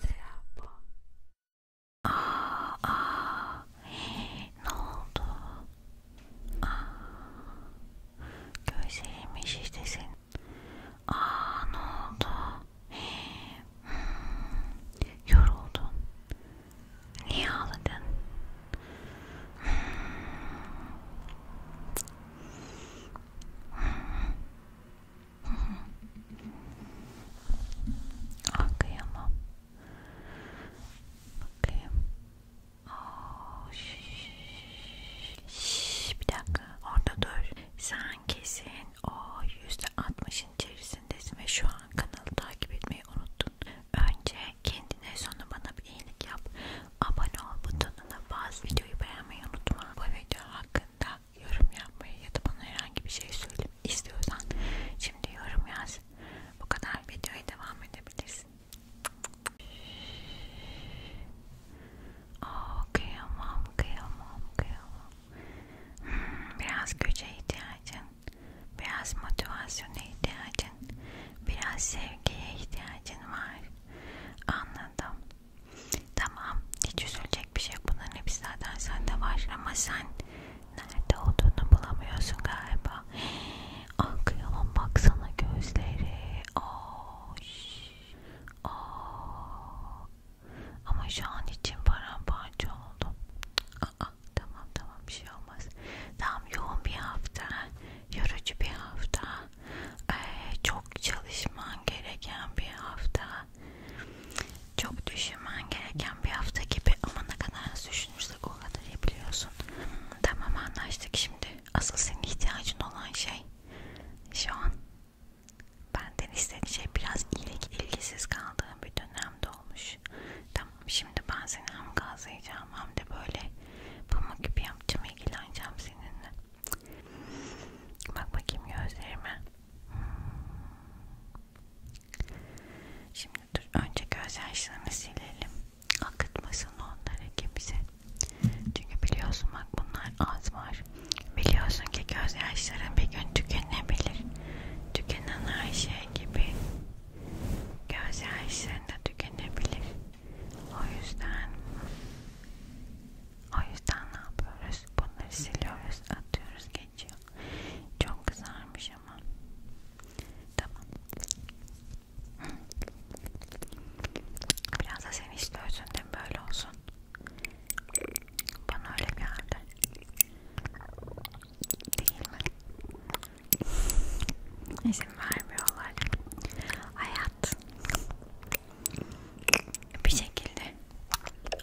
Sıra bu. Aa, aa. Hii, ne oldu? Aa, gözlerim işte senin. Aa, ne oldu? Hii, hmm, yoruldun. Niye ağladın? Ah kıyamam. Bakayım. Oh, şş, şş, bir dakika orada dur. Sen kesin o yüzde altmışın içerisindesin ve şu an kanalı takip etmeyi unuttun. Önce Kendine sonra bana bir iyilik yap. Abone ol butonuna bas. Videoyu beğenmeyi unutma. Bu video hakkında yorum yapmayı ya da bana herhangi bir şey söyle istiyorsan şimdi yorum yaz. Bu kadar videoya devam edebilirsin. Oh, kıyamam, kıyamam, kıyamam. Hmm, biraz güce ihtiyacın biraz motivasyona ihtiyacın, biraz sevgiye ihtiyacın var. Anladım. Tamam, hiç üzülecek bir şey bunların hepsi zaten sende var ama sen nerede olduğunu bulamıyorsun galiba. Ah kıyamam baksana gözleri. Oh, oh. Ama şu an için paramparça oldum. Aa, ah, tamam tamam bir şey olmaz tam yoğun bir hafta yorucu bir hafta ee, çok çalışman gereken bir hafta çok düşünmen gereken bir hafta gibi ama ne kadar düşünürsek o kadar iyi biliyorsun hmm, tamam anlaştık şimdi asıl senin ihtiyacın olan şey şu an benden istediğin şey biraz ilgisiz kaldığım bir dönemde olmuş tamam Şimdi ben seni hem gazlayacağım hem de böyle pamuk gibi yapacağım. ilgileneceğim seninle. Bak bakayım gözlerime. Hmm. Şimdi dur önce göz yaşlarını silelim. Akıtmasın onları kimse. Çünkü biliyorsun bak bunlar az var. Biliyorsun ki göz yaşların bir gün tükenebilir. Tükenen her şey gibi göz yaşlarında tükenebilir. O yüzden o yüzden ne yapıyoruz? Bunları siliyoruz, atıyoruz, geçiyor. Çok kızarmış ama. Tamam. Biraz da sen istiyorsun değil mi? Böyle olsun. Bana öyle geldi. Değil mi? İzin vermiyorlar. Hayat bir şekilde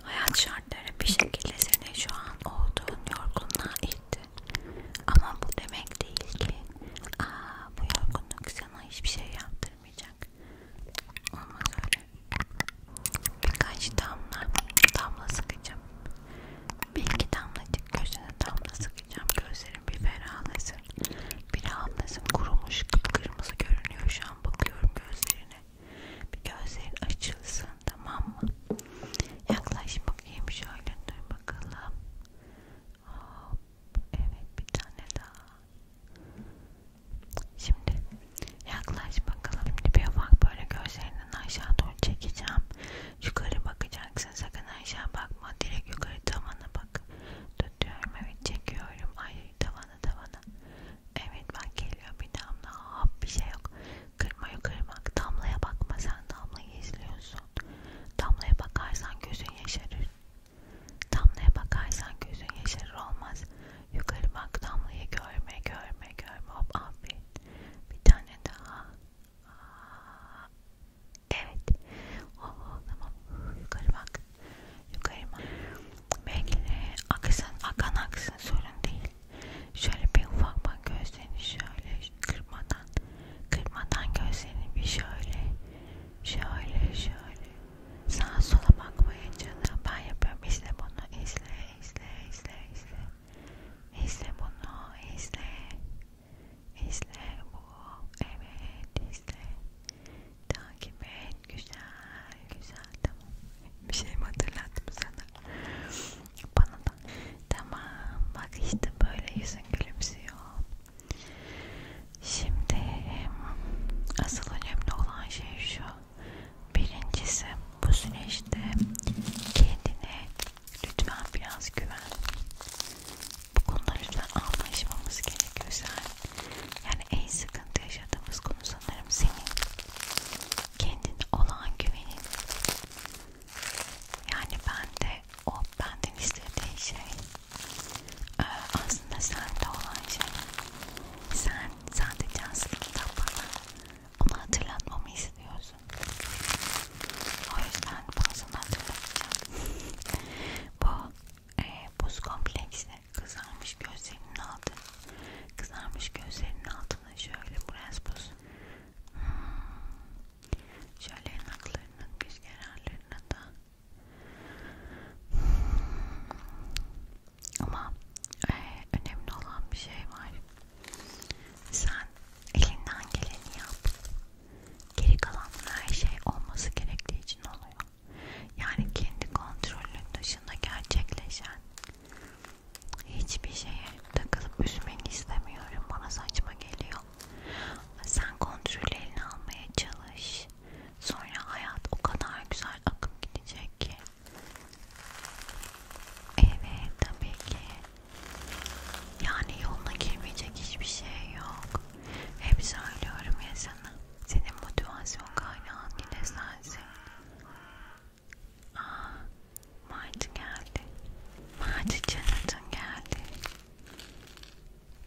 hayat şartları bir şekilde seni şu an olduğun yorgunluğa itti. Ama bu demek değil ki aa bu yorgunluk sana hiçbir şey yaptırmayacak. Olmaz öyle. Birkaç damla damla sıkacağım. Bir iki damlacık gözüne damla sık bakacağım gözlerim bir ferahlasın bir rahatlasın kurumuş kıpkırmızı görünüyor şu an bakıyorum gözlerine bir gözlerin açılsın tamam mı yaklaş bakayım şöyle dur bakalım Hop, evet bir tane daha şimdi yaklaş bakalım bir ufak böyle gözlerinden aşağı doğru çekeceğim Yukarı bakacaksın sakın aşağı bakma direkt yukarı tavana bak. Tutuyorum evet çekiyorum ay tavana tavana. Evet bak geliyor bir damla hop bir şey yok. Kırma yukarı bak damlaya bakma sen damlayı izliyorsun. Damlaya bakarsan gözün yaşarır. Damlaya bakarsan gözün yaşarır olmaz. Yukarı bak damlayı görme görme görme hop aferin. Bir tane daha Aa, evet. Oo, oh, oh, tamam. Yukarı bak. Yukarı bak. Belki aksın, akan aksın sorun değil. Şöyle bir ufak bak gözlerini şöyle kırmadan, kırmadan gözlerini bir şöyle, şöyle, şöyle. Sağa sola bakmaya canım. Ben yapıyorum. İzle bunu. İzle, izle, izle, izle. İzle bunu. İzle. İzle bu. Evet izle. Takip et. Güzel. Güzel. Tamam. Bir şey mi hatırlattım sana? Bana da. Tamam. Bak işte böyle yüzün gülümsüyor. Şimdi asıl önemli olan şey şu. Birincisi bu süreçte kendini Lütfen biraz güven. Bu konuda lütfen anlaşmamız gerekiyor sen. Yani en sıkıntı yaşadığımız konu sanırım senin. Kendine olan güvenin. Yani ben de o benden istediği şey e, aslında sende olan şey. Sen sadece aslında bana onu hatırlatmamı istiyorsun. O yüzden bunu sana hatırlatacağım. Bu e, buz kompleksi kızarmış gözlerinin altı. Kızarmış gözlerinin altına şöyle biraz buz. Hmm. Şöyle yanaklarının, göz kenarlarına da. Hmm. Ama e, önemli olan bir şey var. Sen elinden geleni yap. Geri kalan her şey olması gerektiği için oluyor. Yani kendi kontrolün dışında gerçekleşen hiçbir şeye takılıp üzmeni istemiyorum. Bana saçma geliyor. Sen kontrolü eline almaya çalış. Sonra hayat o kadar güzel akıp gidecek ki. Evet tabii ki yani yoluna girmeyecek hiçbir şey yok. Hep söylüyorum ya sana. Senin motivasyon kaynağın yine sensin. Aa, Martı geldi. Martı Canat'ın geldi.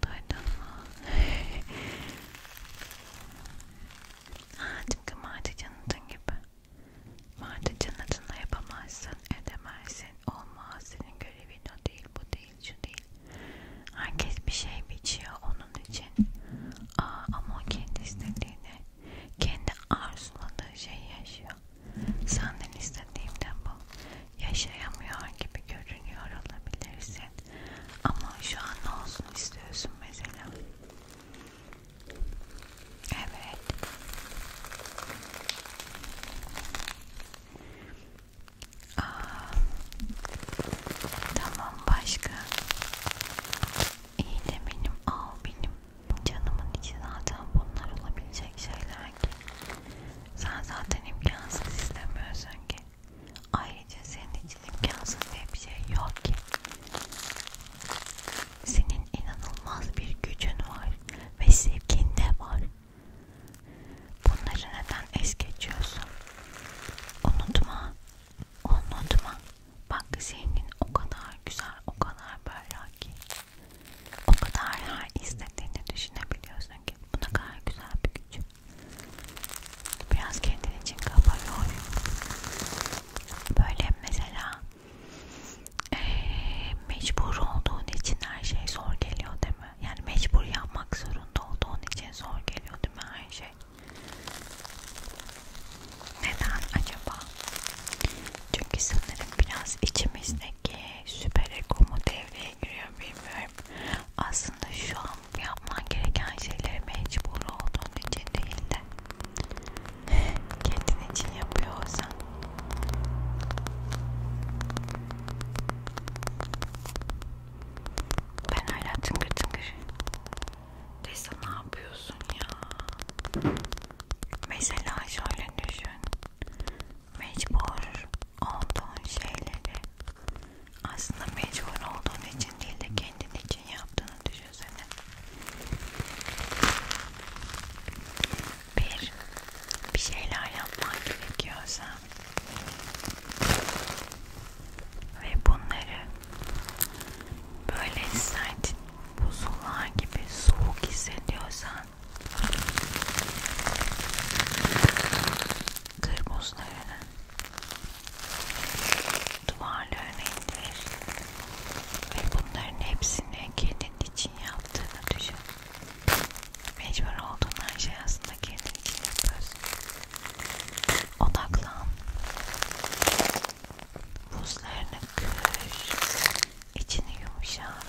Duydun mu? Aa, tıpkı Martı Canat'ın gibi. Martı cennetinde yapamazsın, edemezsin, olmaz, senin görevin o değil, bu değil, şu değil. Herkes bir şey biçiyor onun için. Aa, ama o kendi istediğini, kendi arzuladığı şeyi yaşıyor. Senden istediğimden bu. Yaşayamıyor gibi görünüyor olabilirsin. Ama şu an ne olsun istiyorsun mesela? Evet. Aa, tamam başka. İyi de benim al benim canımın içi zaten bunlar olabilecek şeyler ki. Sen zaten imkansız istemiyorsun ki. Ayrıca senin için imkansız diye bir şey yok ki. Senin inanılmaz bir gücün var ve sevgin de var. Bunları neden es geçiyorsun? Unutma, unutma. Bak zengin o kadar güzel, o kadar böyle ki, o kadar her istediğini düşünebiliyorsun ki. Bu ne kadar güzel bir güç. Biraz kendin için kafa yor. Böyle mesela e, mecbur olduğun için her şey zor geliyor değil mi? Yani mecbur yapmak zorunda olduğun için zor geliyor değil mi her şey? Neden acaba? Çünkü sanırım biraz içimizdeki süper egomu devreye giriyor bilmiyorum. Aslında şu an yapman gereken şeyleri mecbur olduğun için değil de Kendin için yapıyor olsan. Ben hala tıngır tıngır. Reza ne yapıyorsun ya? Mesela şöyle düşün. Mecbur olduğun şeyleri aslında mecbur olduğun için değil de kendin için yaptığını düşünsene bir bir şeyler yapmak gerekiyorsa ve bunları böyle hissettin buzullar gibi soğuk hissediyorsan kırmızılarını duvarlarına indir ve bunların hepsini kendin için için yaptığını düşün. Mecbur olduğun her şey aslında kendin için yapıyorsun. Odaklan. Buzlarını kır. İçini yumuşat.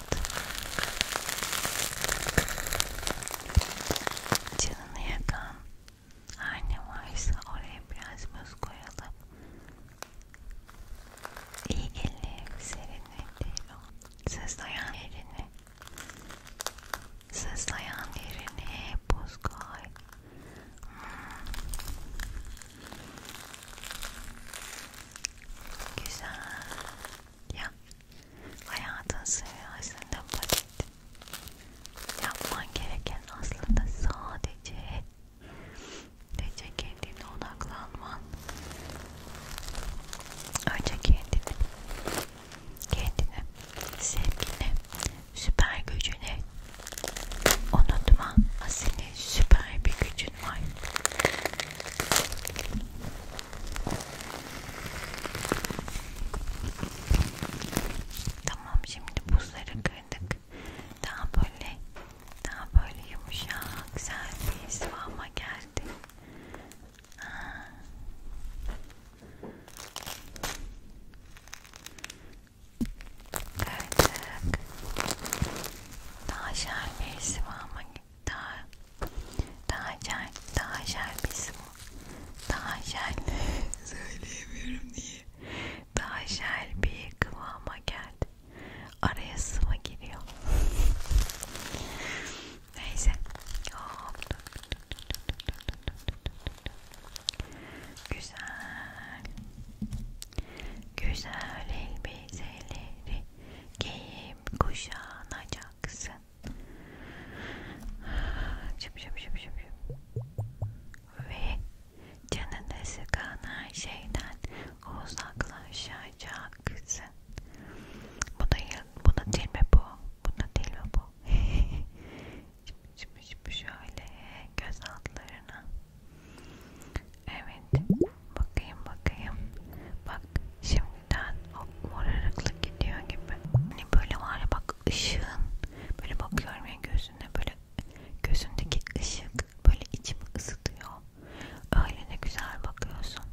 Canını yakan her ne varsa oraya biraz buz koyalım İyi gelir, Sızlayan yerini, sızlayan yerine buz koy. Güzel. Ya, hayatın sırrı basit. Yapman gereken aslında sadece Önce kendine odaklanman. Önce kendini, kendini, sevgini, süper gücünü unutma. Senin süper bir gücün var. Tamam şimdi buzları kırdık. Daha böyle daha böyle yumuşak, güzel bir sıvama geldi. Ha. Kırdık. Daha şer bir sıvama daha daha şer, daha şer bir sıvama. Daha şer söyleyemiyorum diye. Daha şer bir kıvama geldi. Araya sıva giriyor. Neyse. Güzel. Güzel elbiseleri giyip kuşanacaksın. Şıp şıp şıp şıp Ve canını sıkan her şeyden uzaklaşacaksın olacaksın. Bu da bunu değil mi bu? Bunu değil mi bu? şimdi, şimdi şöyle göz altlarına. Evet. Bakayım bakayım. Bak şimdiden o morarıklık gidiyor gibi. Hani böyle var ya bak ışığın. Böyle bakıyorum ya gözüne böyle gözündeki ışık böyle içimi ısıtıyor. Öyle de güzel bakıyorsun.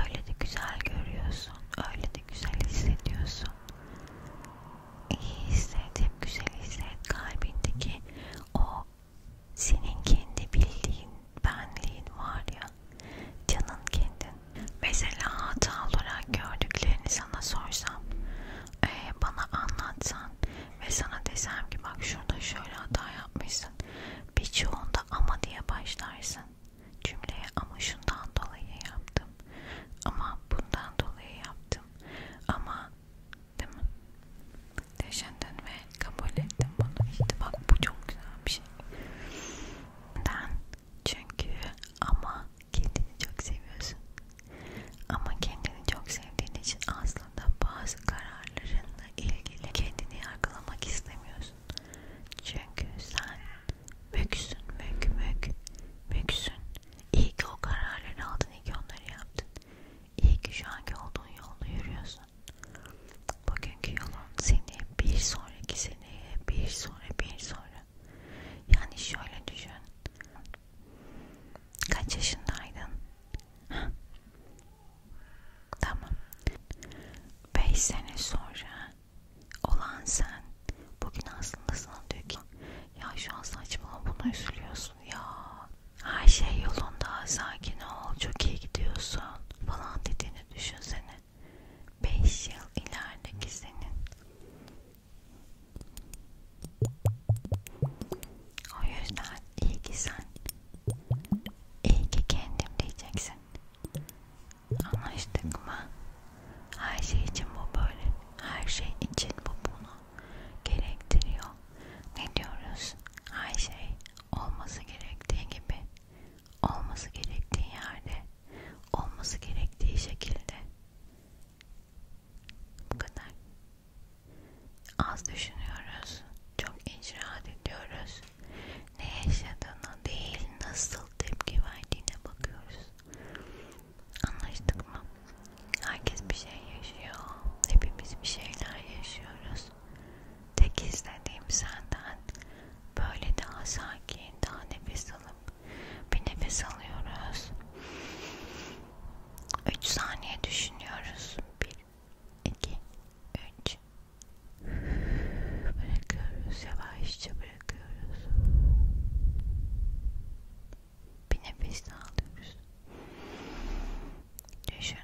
Öyle de güzel görüyorsun. Öyle de güzel hissediyorsun. İyi hisset, hep güzel hisset. Kalbindeki o senin kendi bildiğin benliğin var ya. Canın kendin. Mesela hata olarak gördüklerini sana sorsam, e, bana anlatsan ve sana desem ki bak şurada şöyle hata yapmışsın başlarsın. Birçoğunda ama diye başlarsın. Cümleye ama şundan dolayı yaptım. Ama bundan dolayı yaptım. Ama değil mi? Yaşandın ve kabul ettim bunu. İşte bak bu çok güzel bir şey. Neden? Çünkü ama kendini çok seviyorsun. Ama kendini çok sevdiğin için asla aslında bazı kararlarınla ilgili kendini yargılamak istemiyorsun. Çünkü sen müksün, mük, mük, müksün. İyi ki o kararları aldın, iyi ki onları yaptın. İyi ki şu anki olduğun yolda yürüyorsun. Bugünkü yolun seni bir sonraki seneye, bir sonra, bir sonra. Yani şöyle düşün. Kaç yaşındaydın? Tamam. 5 sene sonra olan sen bugün aslında sana diyor ki ya şu an saçmalama buna üzülüyorsun ya. Her şey yolunda sakin ol çok iyi gidiyorsun falan dediğini düşünsene. 5 yıl ilerideki senin. O yüzden iyi ki sen, iyi ki kendim diyeceksin. Anlaştık mı? Her şey için bu böyle, her şey için bu bunu gerektiriyor. Ne diyoruz? Her şey olması gerektiği gibi, olması gerektiği yerde, olması gerektiği şekilde. Bu kadar. Az düşünüyoruz, çok icraat ediyoruz. Ne yaşadığına değil, nasıl tepki verdiğine bakıyoruz. Anlaştık mı? Herkes bir şey yaşıyor. Hepimiz bir şeyler yaşıyoruz. Tek istediğim senden böyle daha sakin, daha nefes alıp bir nefes alıyoruz. 3 saniye düşünüyoruz. 1 2 3 bırakıyoruz yavaşça bırakıyoruz bir nefes daha alıyoruz düşün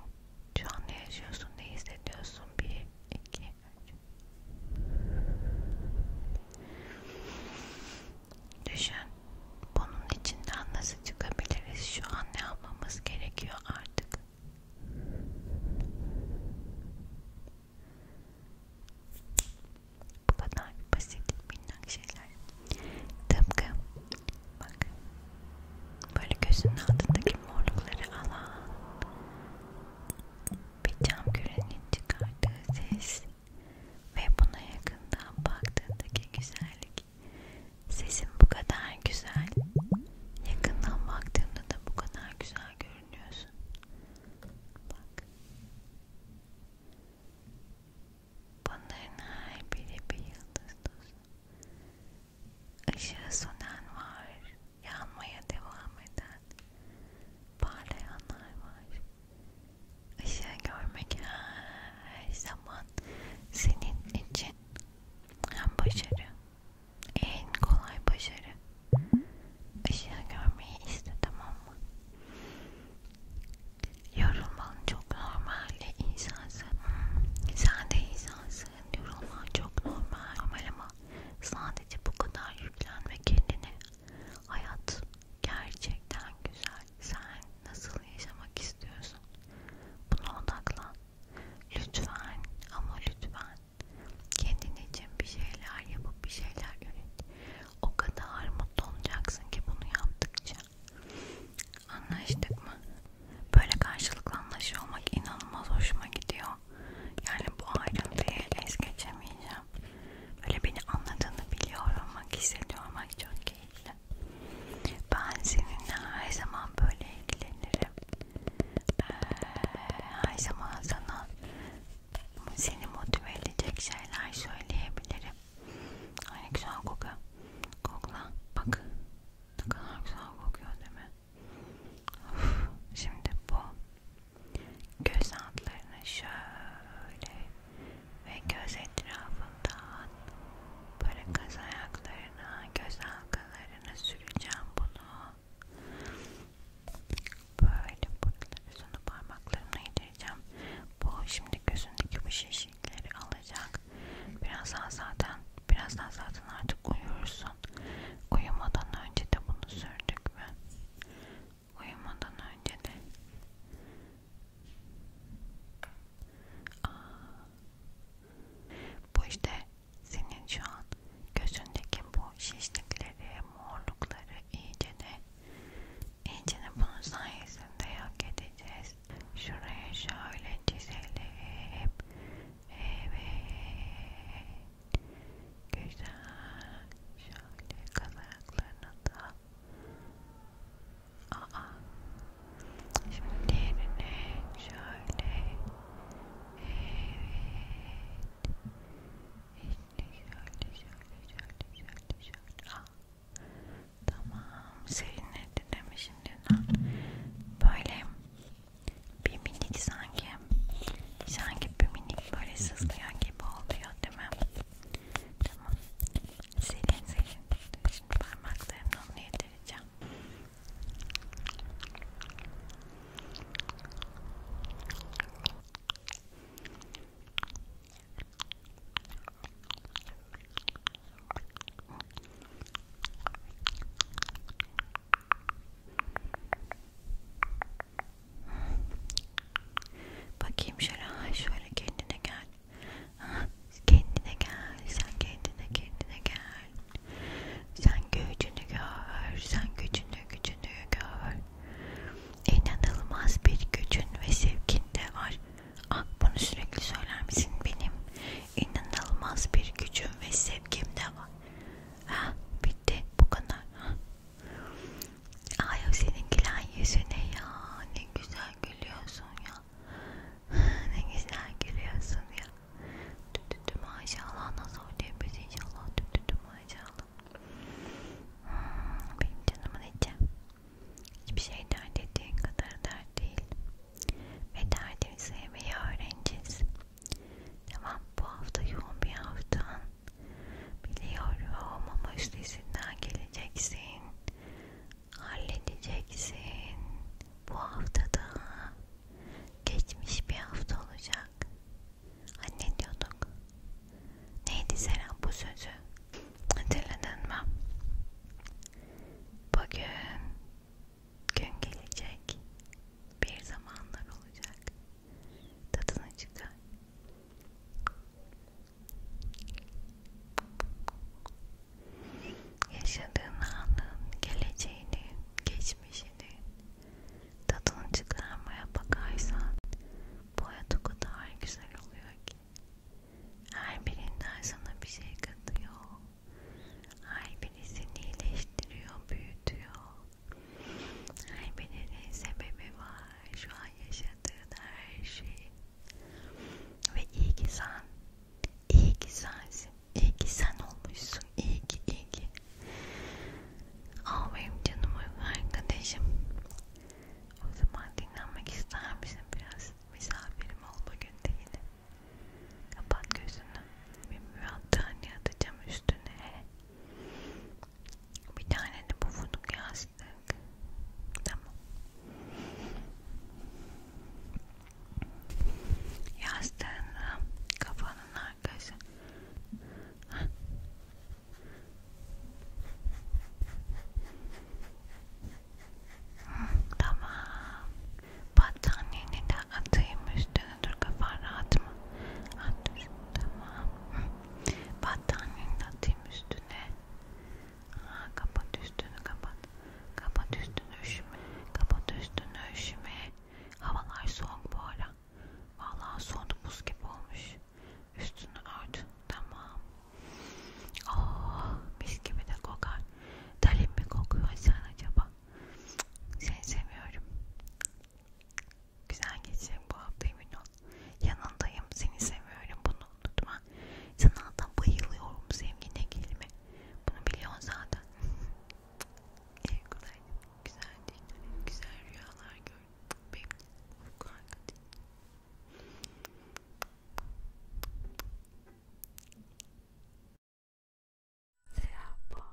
şu an ne yaşıyorsun ne hissediyorsun 1 2 3 Düşün bunun içinden nasıl çıkabiliriz? Şu an ne yapmamız gerekiyor artık? Bu kadar basit, minnak şeyler. Tıpkı bak böyle gözünün altındaki morlukları alan bir cam kürenin çıkardığı ses ve buna yakından baktığındaki güzellik Sesim bu kadar güzel. Yakından baktığımda da bu kadar güzel görünüyorsun. Bak. Bunların her biri bir yıldız tozu. Işığı sönen var, yanmaya devam eden, parlayanlar var. Işığı görmek her zaman senin için hem başarı en kolay başarı ışığı görmeyi iste tamam mı? Yorulman çok normal insansın. Sen de insansın. Yorulman çok normal. Normal ama sadece bu kadar yüklenme kendine. Hayat gerçekten güzel sen nasıl yaşamak istiyorsun? Buna odaklan. Lütfen ama lütfen kendin için bir şeyler yapıp bir şeyler üret. O kadar mutlu olacaksın ki bunu yaptıkça. Anlaştık mı? Böyle karşılıklı anlaşıyor olmak inanılmaz hoşuma gidiyor. Yani bu ayrıntıyı es geçemeyeceğim. Böyle beni anladığını biliyorum. Bak hissediyorum. Bak çok keyifli. Ben seninle her zaman böyle ilgilenirim. Ee, her zaman sana seni motive edecek şeyler söyleyebilirim. Aynı güzel koku. Kokla. Bak. Ne kadar güzel kokuyor değil mi? Of. Şimdi bu göz altlarını şöyle ve göz etrafından böyle kaz ayakları kenarlarına, göz halkalarına süreceğim bunu. Böyle buraları sonra parmaklarımla yedireceğim. Bu şimdi gözündeki bu şişlikleri alacak. Birazdan zaten, birazdan zaten artık uyursun. Uyumadan önce de bunu sürdük mü? Uyumadan önce de Aa. Bu işte senin şu an gözündeki bu şişlikleri, morlukları iyice de iyice de bunun sayesinde yok edeceğiz. Şuraya şöyle çizelim. Evet. Güzel. Şöyle kazaklarını da Aa. Şimdi diğerine şöyle. Evet. İşte şöyle şöyle şöyle şöyle şöyle. Aa. Tamam. Serinledi değil mi şimdi? Böyle bir minik sanki. Sanki bir minik böyle sızlayan gibi oluyor değil mi? Tamam. Serin serin. Şimdi parmaklarımla onu yedireyim göstereceğim. Bakayım şöyle, ay şöyle kendine gel Kendine gel, sen kendine kendine gel. Sen gücünü gör, sen gücünü gücünü gör. İnanılmaz bir gücün ve sevgin de var. Ah bunu sürekli söyler misin benim? İnanılmaz bir gücüm ve sevgim de var. Ha ah, bitti bu kadar. Ha. Ay o senin gülen yüzüne ya ne güzel gülüyorsun ya ne güzel gülüyorsun ya. Tütütü maşallah nasıl oluyor biz inşallah tütütü maşallah. Hmm, benim canımın içi. Hiçbir şey dert ettiğin kadar dert değil. Ve derdini sevmeyi öğreneceğiz. Tamam bu hafta yoğun bir haftan. Biliyorum ama üstesinden geleceksin halledeceksin. Bu haftada geçmiş bir hafta olacak. Anne diyorduk. Neydi Serap bu sözü? Hatırladın mı? Bugün gün gelecek. Bir zamanlar olacak. Tadını çıkar. Yaşadığın anın geleceğini, geçmişini tadını çıkarmaya bakarsan bu hayat o kadar güzel oluyor ki her birinden sana bir şey katıyor. Her biri seni iyileştiriyor, büyütüyor. Her birinin sebebi var. Şu an yaşadığın her şeyin ve iyi ki sen, iyi ki sensin, iyi ki sen olmuşsun, iyi ki, iyi ki. Al benim canım arkadaşım. O zaman dinlenmek ister misin biraz? Misafirim ol bugün değil. Kapat gözünü. Bir mürattani atacağım üstüne. Bir tane de bu fındık yastık. Tamam. Yastığını kafanın arkası. Heh. Hı, tamam. Battaniyeni de atayım üstüne. Dur kafan rahat mı? At dur. Tamam. Hı. Battaniyeni de atayım üstüne. Ha, kapat üstünü kapat. Kapat üstünü üşüme. Kapat üstünü üşüme. Havalar soğuk bu ara. Vallahi soğudu buz gibi olmuş. Üstünü ört. Tamam. Oh, mis gibi de kokar. Dalim mi kokuyor sen acaba? Seni seviyorum. Güzel geçecek bu hafta emin ol. Yanındayım. Seni seviyorum. Bunu unutma. Sanata bayılıyorum sevgine kelime. Bunu biliyorsun zaten. Ev kolay. Güzel değil. Güzel rüyalar gör. Benim uyku harika değil. Selam.